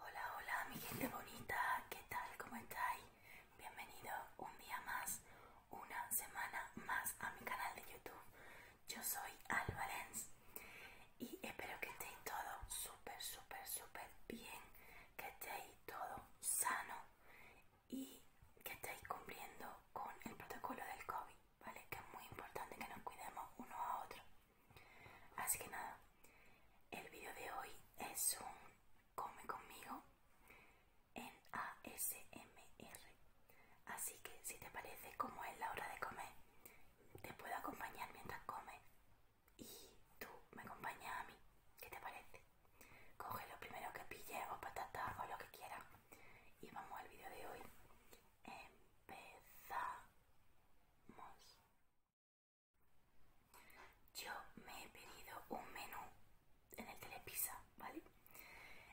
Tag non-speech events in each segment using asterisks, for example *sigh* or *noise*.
Hola, hola, mi gente bonita, ¿qué tal? ¿Cómo estáis? Bienvenido un día más, una semana más a mi canal de YouTube. Yo soy Al y espero que estéis todos súper, súper, súper bien, que estéis todos sano y que estéis cumpliendo con el protocolo del COVID, ¿vale? Que es muy importante que nos cuidemos uno a otro. Así que nada, el vídeo de hoy es un come conmigo en ASMR. Así que si te parece como es la hora de comer, te puedo acompañar mientras comes y tú me acompañas a mí. ¿Qué te parece? Coge lo primero que pille o patatas o lo que quieras. Y vamos al vídeo de hoy. Empezamos. Yo me he pedido un menú en el Telepisa ¿vale?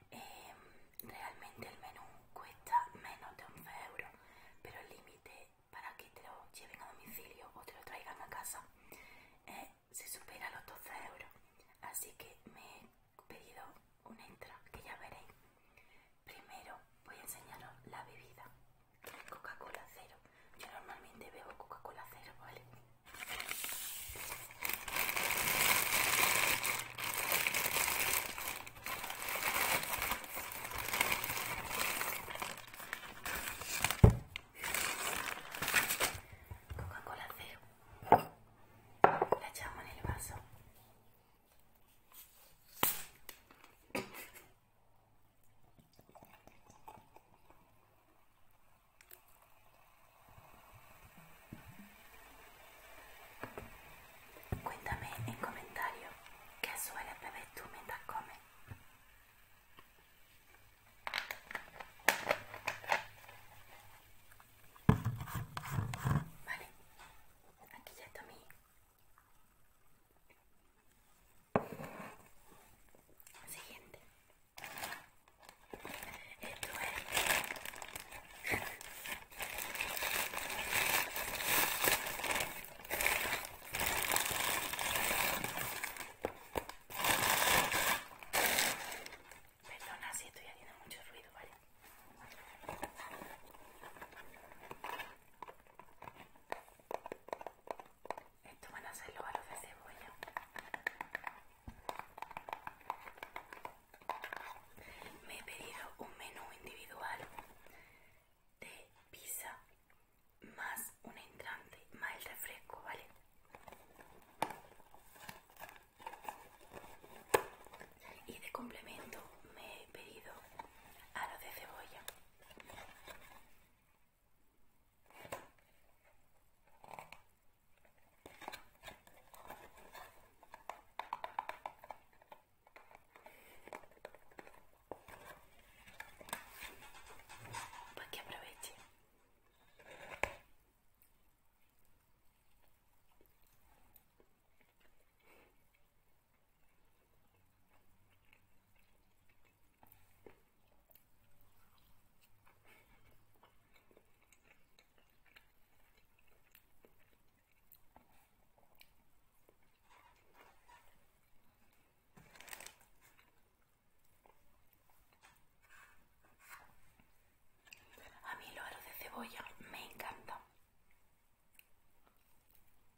Em, realmente el menú cuesta menos de 11 euros, pero el límite para que te lo lleven a domicilio o te lo traigan a casa eh, se supera los 12 euros. Así que me he pedido un entra, que ya veréis. Primero voy a enseñaros la bebida. Coca-Cola cero. Yo normalmente bebo Coca-Cola cero, ¿vale? Coca-Cola cero. La echamos en el vaso. Cuéntame en comentario qué suele beber tú mientras comes. Vale, aquí ya está Siguiente. Esto es Perdona si estoy haciendo mucho ruido, ¿vale? Esto van a ser los aros de cebolla. Me he pedido un menú individual de pizza más un entrante más el refresco, ¿vale? Y de complemento me he pedido aro de cebolla. porque que aproveche. A mí lo de cebolla me encanta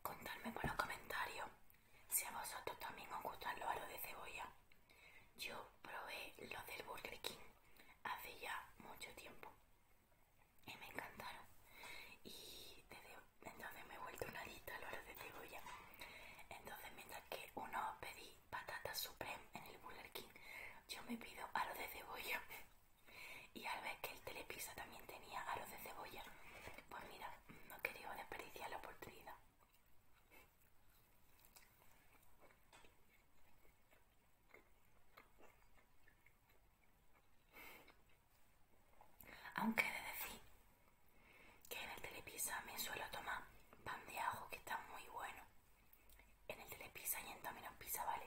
Contadme en los comentarios si a vosotros también os gustan los aros de cebolla. Yo probé los del Burger King hace ya mucho tiempo y me encantaron. Y entonces me he vuelto una adicta los aros de cebolla. Entonces, mientras que uno pedí patata supreme en el Burger King, yo me pido aros de cebolla. *laughs* Y al ver que el telepisa también tenía aros de cebolla, pues mira, no quería desperdiciar la oportunidad. Aunque de decir que en el telepisa me suelo tomar pan de ajo que está muy bueno. En el telepizza y en Domino's Pizza, ¿vale?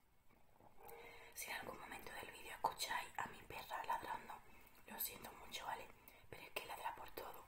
Si en algún momento del vídeo escucháis a mi perra ladrando, lo siento mucho, ¿vale? Pero es que ladra por todo.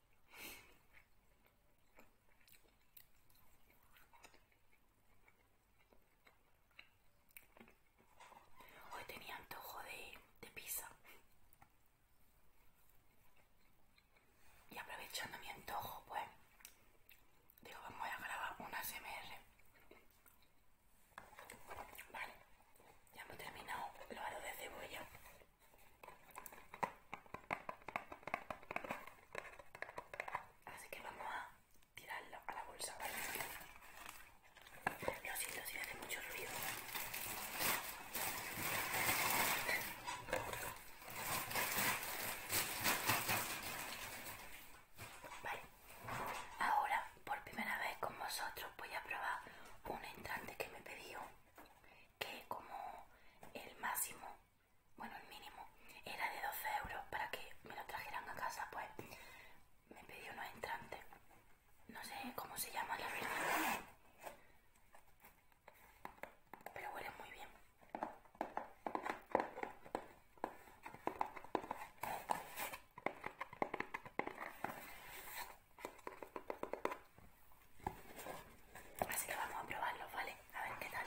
Hoy tenía antojo de, pizza. Y aprovechando mi antojo, pues, digo, vamos a grabar una SMR. Vale, ya hemos terminado lo de cebolla. Así que vamos a tirarlo a la bolsa, Lo siento si hace mucho ruido. Vale, ahora por primera vez con vosotros voy a probar un entrante que me pedió que como el máximo bueno, el mínimo, era de 12 euros para que me lo trajeran a casa, pues me pedí unos entrantes. No sé cómo se llama la verdad. Pero huele muy bien. Así que vamos a probarlo, ¿vale? A ver qué tal.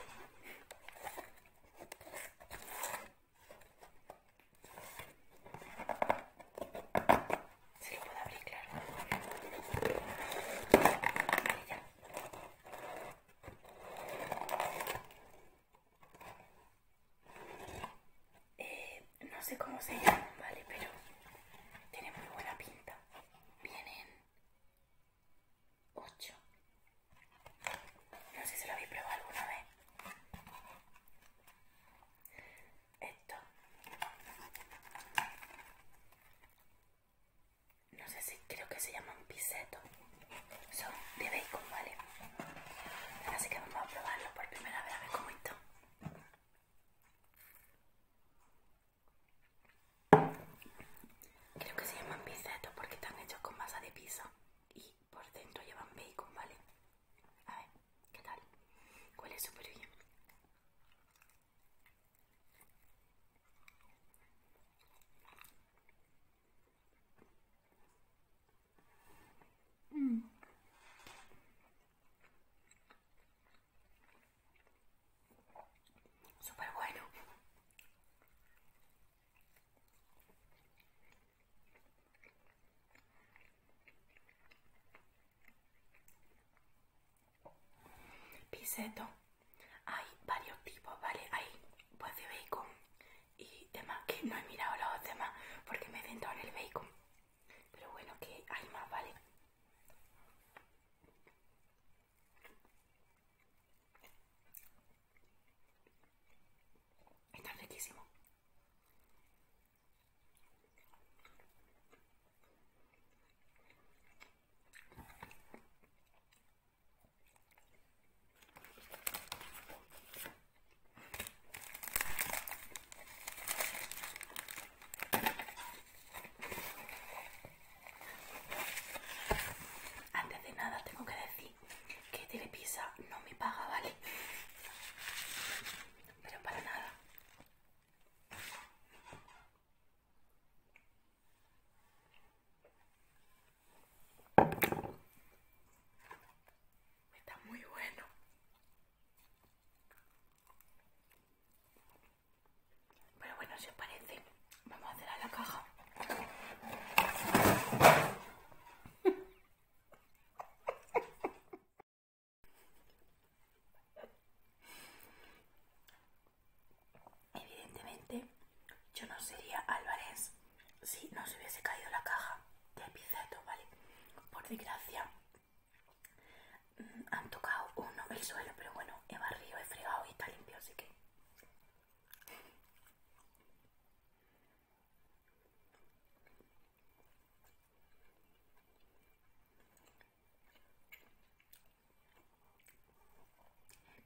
Si lo puedo abrir, claro. ya. Eh, no sé cómo se llaman, ¿vale? Pero tiene muy buena pinta. Vienen 8. No sé si lo habéis probado alguna vez. Esto. No sé si creo que se llaman piseto. Son de bacon, ¿vale? Así que vamos a probarlo por primera vez a ver cómo está. Creo que se llaman bisetos porque están hechos con masa de pizza y por dentro llevan bacon, ¿vale? A ver, ¿qué tal? ¿Cuál súper bien. Mmm Súper bueno. Piseto. Hay varios tipos, ¿vale? Hay pues de bacon y demás, que no he mirado los demás porque me he centrado en el bacon. Pero bueno, que hay más, ¿vale? Está riquísimo. Antes de nada tengo que decir que Telepisa no me paga, ¿vale? Pero para nada. Está muy bueno. Pero bueno, si os parece, vamos a hacer a la caja. Evidentemente, yo no sería Álvarez si no se hubiese caído la caja de Epiceto, ¿vale? Por desgracia, mm, han tocado uno el suelo, pero bueno, he barrido, he fregado y está limpio, así que...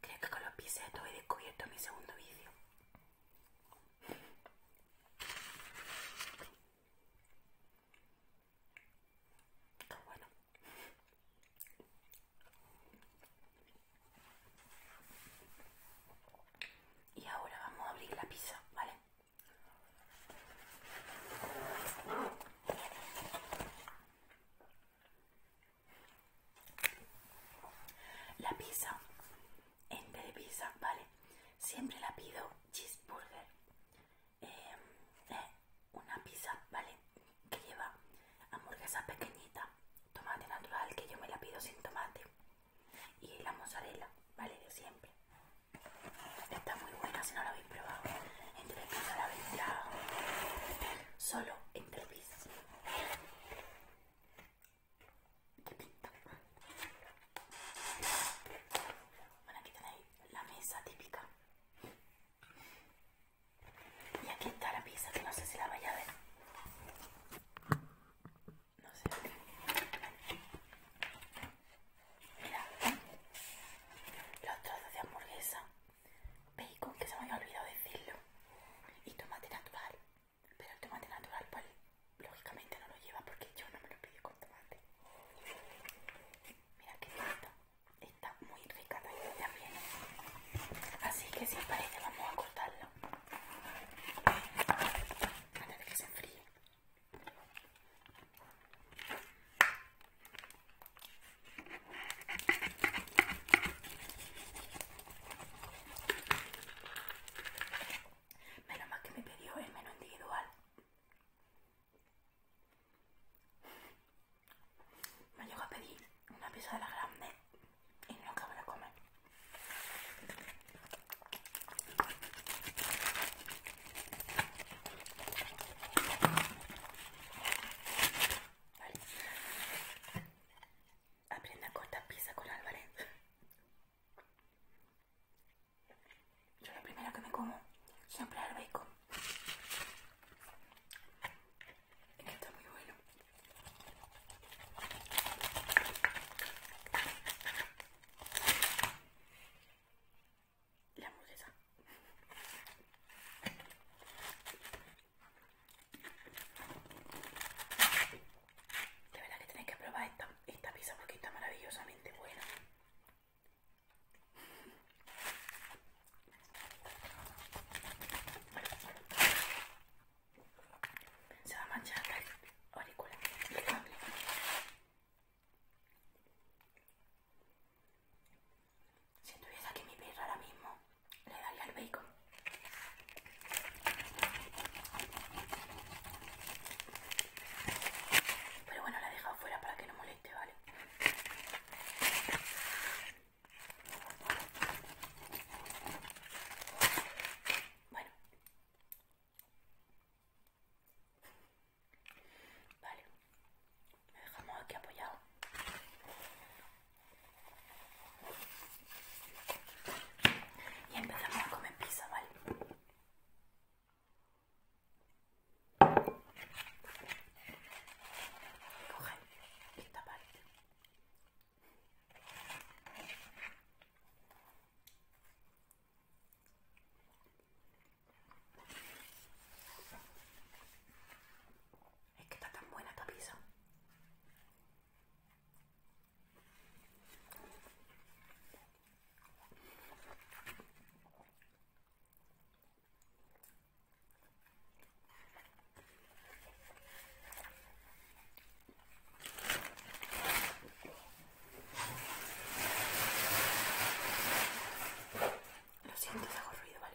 Creo que con los pisetos he descubierto mi segundo vídeo. bueno. Y ahora vamos a abrir la pizza, ¿vale? La pizza, en de pizza, ¿vale? Siempre la pido cheeseburger. eh, eh una pizza, ¿vale? Que lleva hamburguesa pequeñita, tomate natural, que yo me la pido sin tomate, y la mozzarella, ¿vale? De siempre. Está muy buena si no la habéis probado. Entre pizza la vendrá solo entre pizzas. que pinta? Bueno, aquí tenéis la mesa típica. Y aquí está la pizza, que no sé si la vaya a ver. No sé. Mira, los trozos de hamburguesa, bacon, que se me había olvidado decirlo, y tomate natural. Pero el tomate natural, pues lógicamente no lo lleva porque yo no me lo pido con tomate. Mira qué está muy rica también. Así que si parece vamos a cortarlo. Antes de que se enfríe. Menos mal que me pidió el menú individual. Me llego a pedir una pieza de la grande y no acabo de comer. Vale. Aprende a cortar pizza con Álvarez. Yo la primero que me como siempre es el bacon. Es que está muy bueno. La esa. De verdad que tenéis que probar esta, esta pizza porque está maravillosamente buena. Se va a manchar la aurícula, Si tuviese aquí mi perro ahora mismo, le daría el bacon. Pero bueno, la he dejado fuera para que no moleste, ¿vale? Bueno. Vale. dejamos aquí apoyado. Y empezamos a comer pizza, ¿vale? ¿Qué esta parte. Es que está tan buena esta piso lo siento, hago ruido, ¿vale?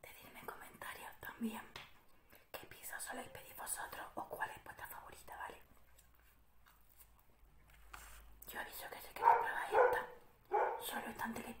Decidme en comentarios también qué pizza soléis pedir vosotros o cuál es vuestra favorita, ¿vale? Yo aviso que sé que la esta, solo estante de ¿vale?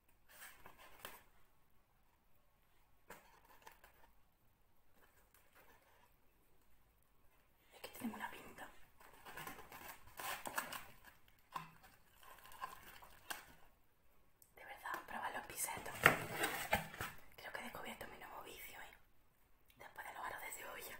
Aquí tenemos una pinta. De verdad, probar los pisetos. Creo que he descubierto mi nuevo vicio, ¿eh? Después de los aros de cebolla.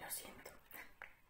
Lo siento.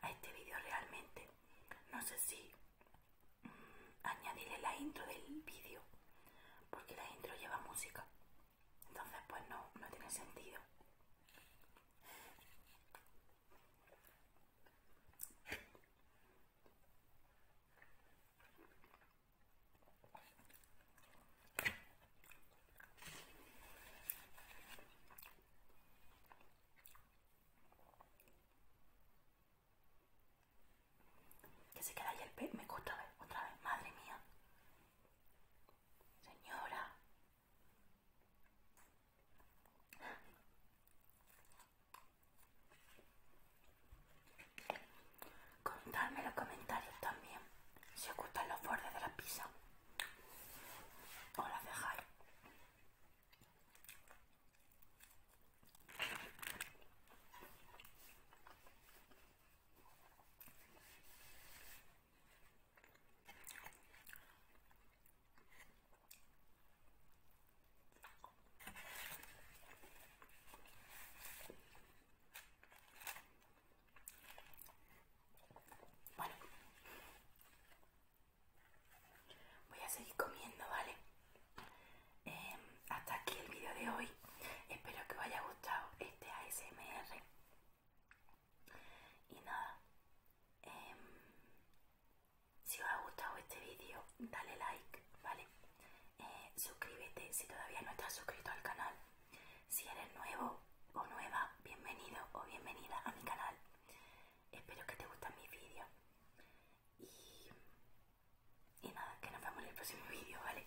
A este vídeo realmente no sé si añadiré mm, añadirle la intro del vídeo, porque la intro lleva música. Entonces pues no, no tiene sentido. Que se queda ahí el pez. Me gusta otra vez. Madre mía. Señora. Comentarme los comentarios también si os gustan los bordes de la pizza o las dejáis. Bueno, voy a seguir comiendo, ¿vale? Em, hasta aquí el vídeo de hoy. Espero que os haya gustado este ASMR. Y nada, em, si os ha gustado este vídeo, dale like, ¿vale? Eh, suscríbete si todavía no estás suscrito al canal. Si eres nuevo o nueva, bienvenido o bienvenida a mi canal. Espero que te gustan mis vídeos. Y, y nada, que nos vemos en el próximo vídeo, ¿vale?